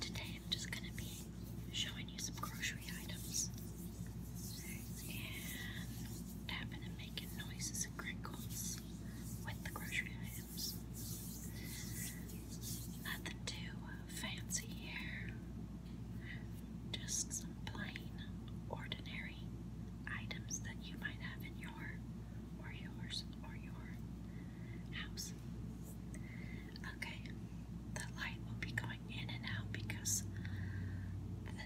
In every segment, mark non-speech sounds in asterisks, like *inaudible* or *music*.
Today I'm just going to be showing you some grocery items and tapping and making noises and crinkles with the grocery items. Nothing too fancy here just some plain, ordinary items that you might have in your, or yours, or your house. Okay, the light will be going in and out because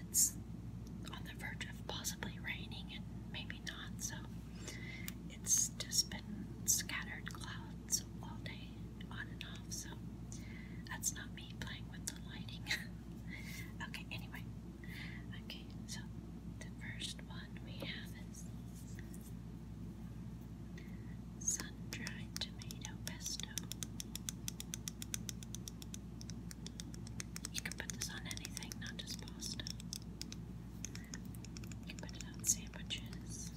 it's on the verge of possibly raining and maybe not, so it's just been scattered clouds all day, on and off. So that's not me playing with the lighting. *laughs* okay, anyway. Okay, so the first one we have is sun dried tomato pesto. You can put this on anything, not just pasta. You can put it on sandwiches.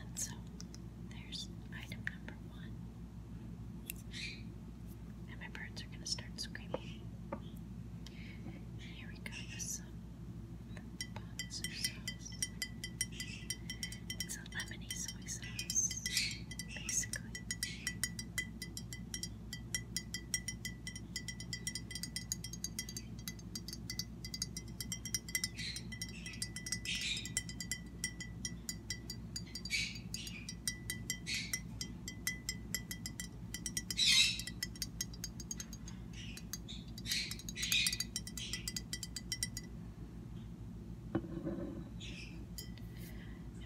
And so there's item number one. And my birds are going to start screaming. Here we go with some pots sauce. It's lemony soy sauce, basically. And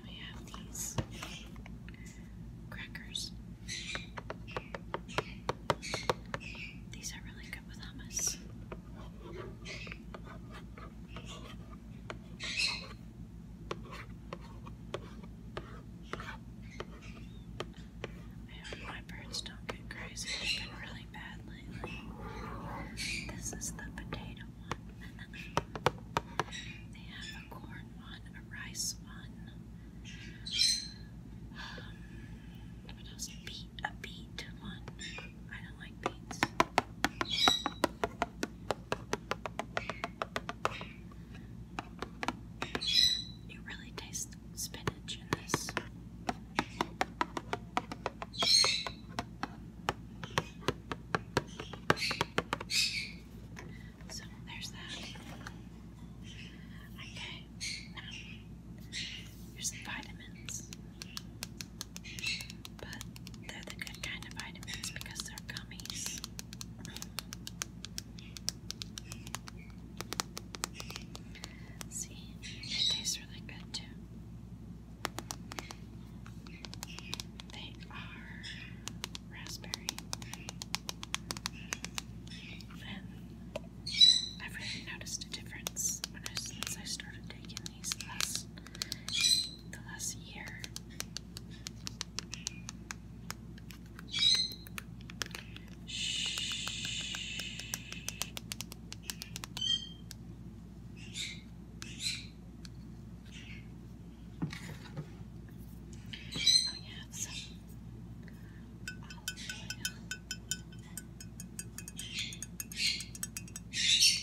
we have these crackers. These are really good with hummus. my birds don't get crazy. They've been really bad lately. This is the potato one. *laughs* they have a corn one, a rice one, what else? Beet, a beet one. I don't like beets. You really taste spinach in this. So there's that. Okay, now here's some vitamins. But they're the good kind of vitamins because they're gummies. See, it tastes really good too. They are raspberry. And I've really noticed a difference since I started taking these the last, year. I have some olive oil. Shh.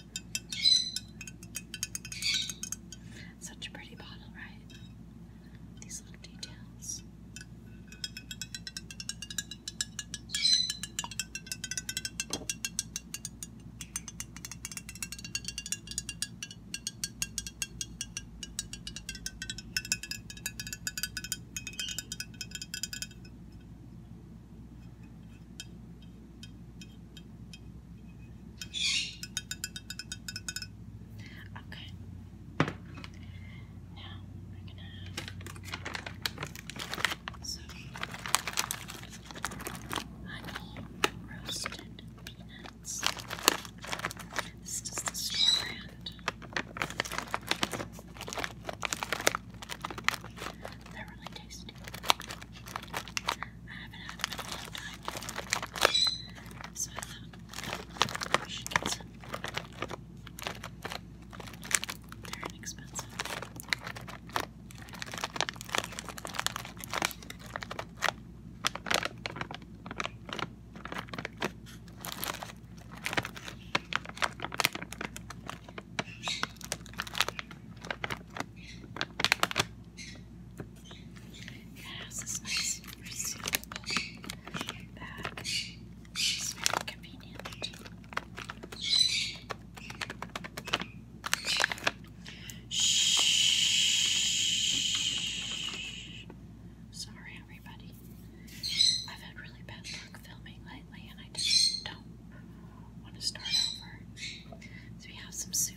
Such a pretty bottle, right? These little details. Okay. Now we're gonna have some honey roasted peanuts. This is the brand. They're really tasty. I haven't had them in a long time. So I thought we should get some. They're inexpensive. It has convenient. Shh. Sorry, everybody. I've had really bad luck filming and I just don't want to start over. So we have some soup.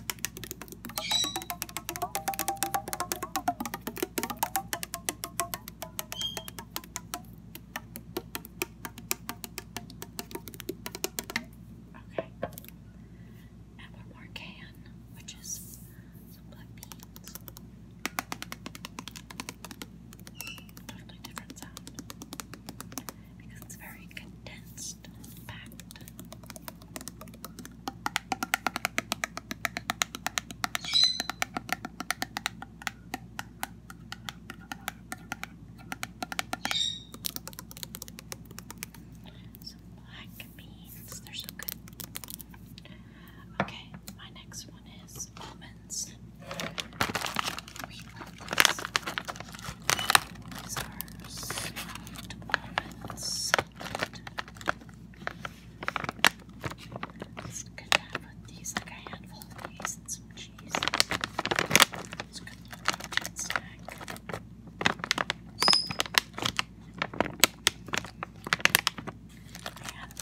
Okay. And one more can, which is some black beans. Totally different sound. Because it's very condensed last packed. Some black beans, they're so good. Okay, my next one is almonds. These are sweet almonds. It's good to have with these, like a handful of these and some cheese. It's a good little snack. And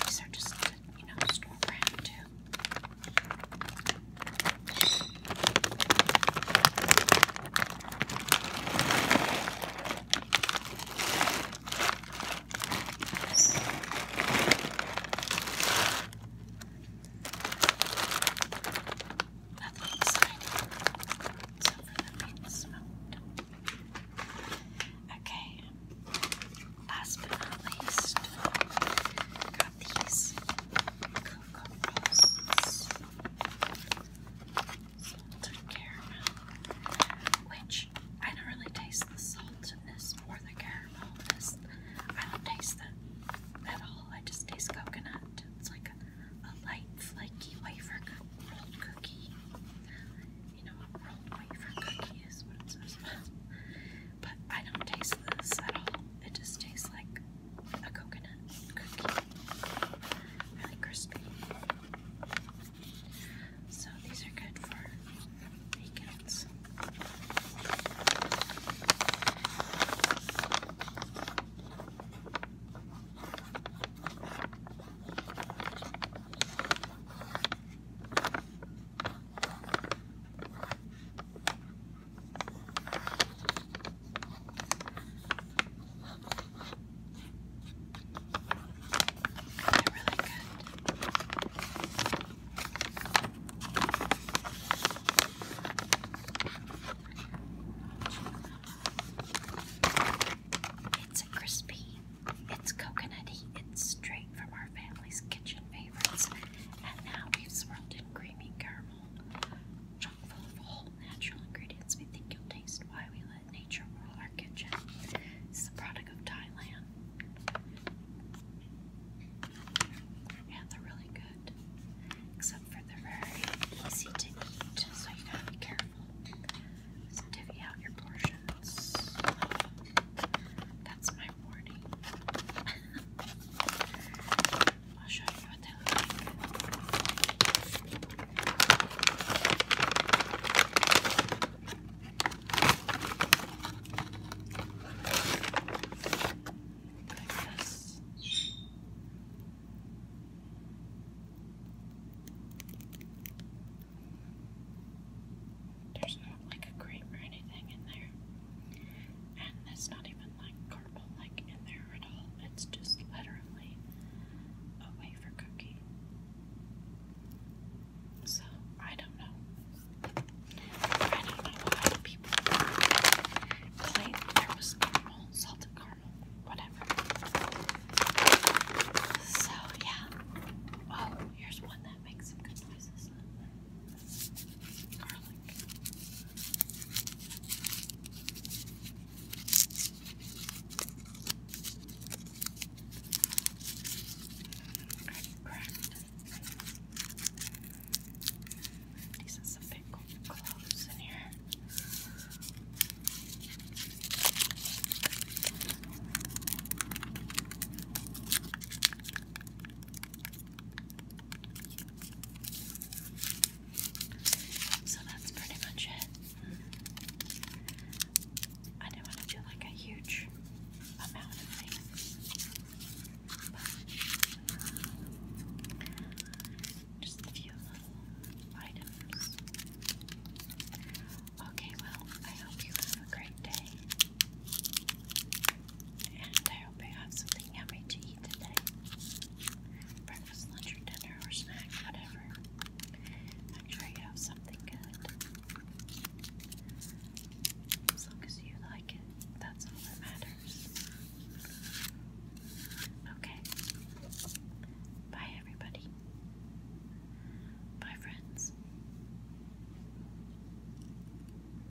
these are just, you know, store brand too. Nothing exciting Okay, last but not least, got these which I don't really taste the saltiness or the caramel in I don't taste that at all. I just taste coconut. It's like a, light, flaky wafer rolled cookie. You know what rolled wafer cookie is, what it says. but I don't taste this at all. It just tastes like a coconut cookie. Really crispy. So these are good for weekends. It's a crispy, it's coconutty, it's straight from our family's kitchen favorites, and now we've swirled in creamy caramel full of whole natural ingredients we think you'll taste why we let nature rule our kitchen. It's the product of Thailand. And they're really good. Except for they're very easy to eat, so you gotta be careful. divvy out your portions. That's my warning. *laughs* I'll show you what they look like. There's not like a grape or anything in there. And it's not even like caramel like in there at all. It's just literally a wafer cookie. So I don't know. I don't know why people claim there was caramel, salted caramel, whatever. So yeah. Oh, here's one that makes some good noises. Garlic. These are some big cloves in here. So that's pretty much it. I didn't want to do like a huge amount of things, but just a few little items. Okay, well, I hope you have a great day. And I hope I have something yummy to eat today. Breakfast, lunch, or dinner, or snack, whatever. Make sure you have something good. As long as you like it, that's all that matters. Okay. Bye, everybody. Bye, friends.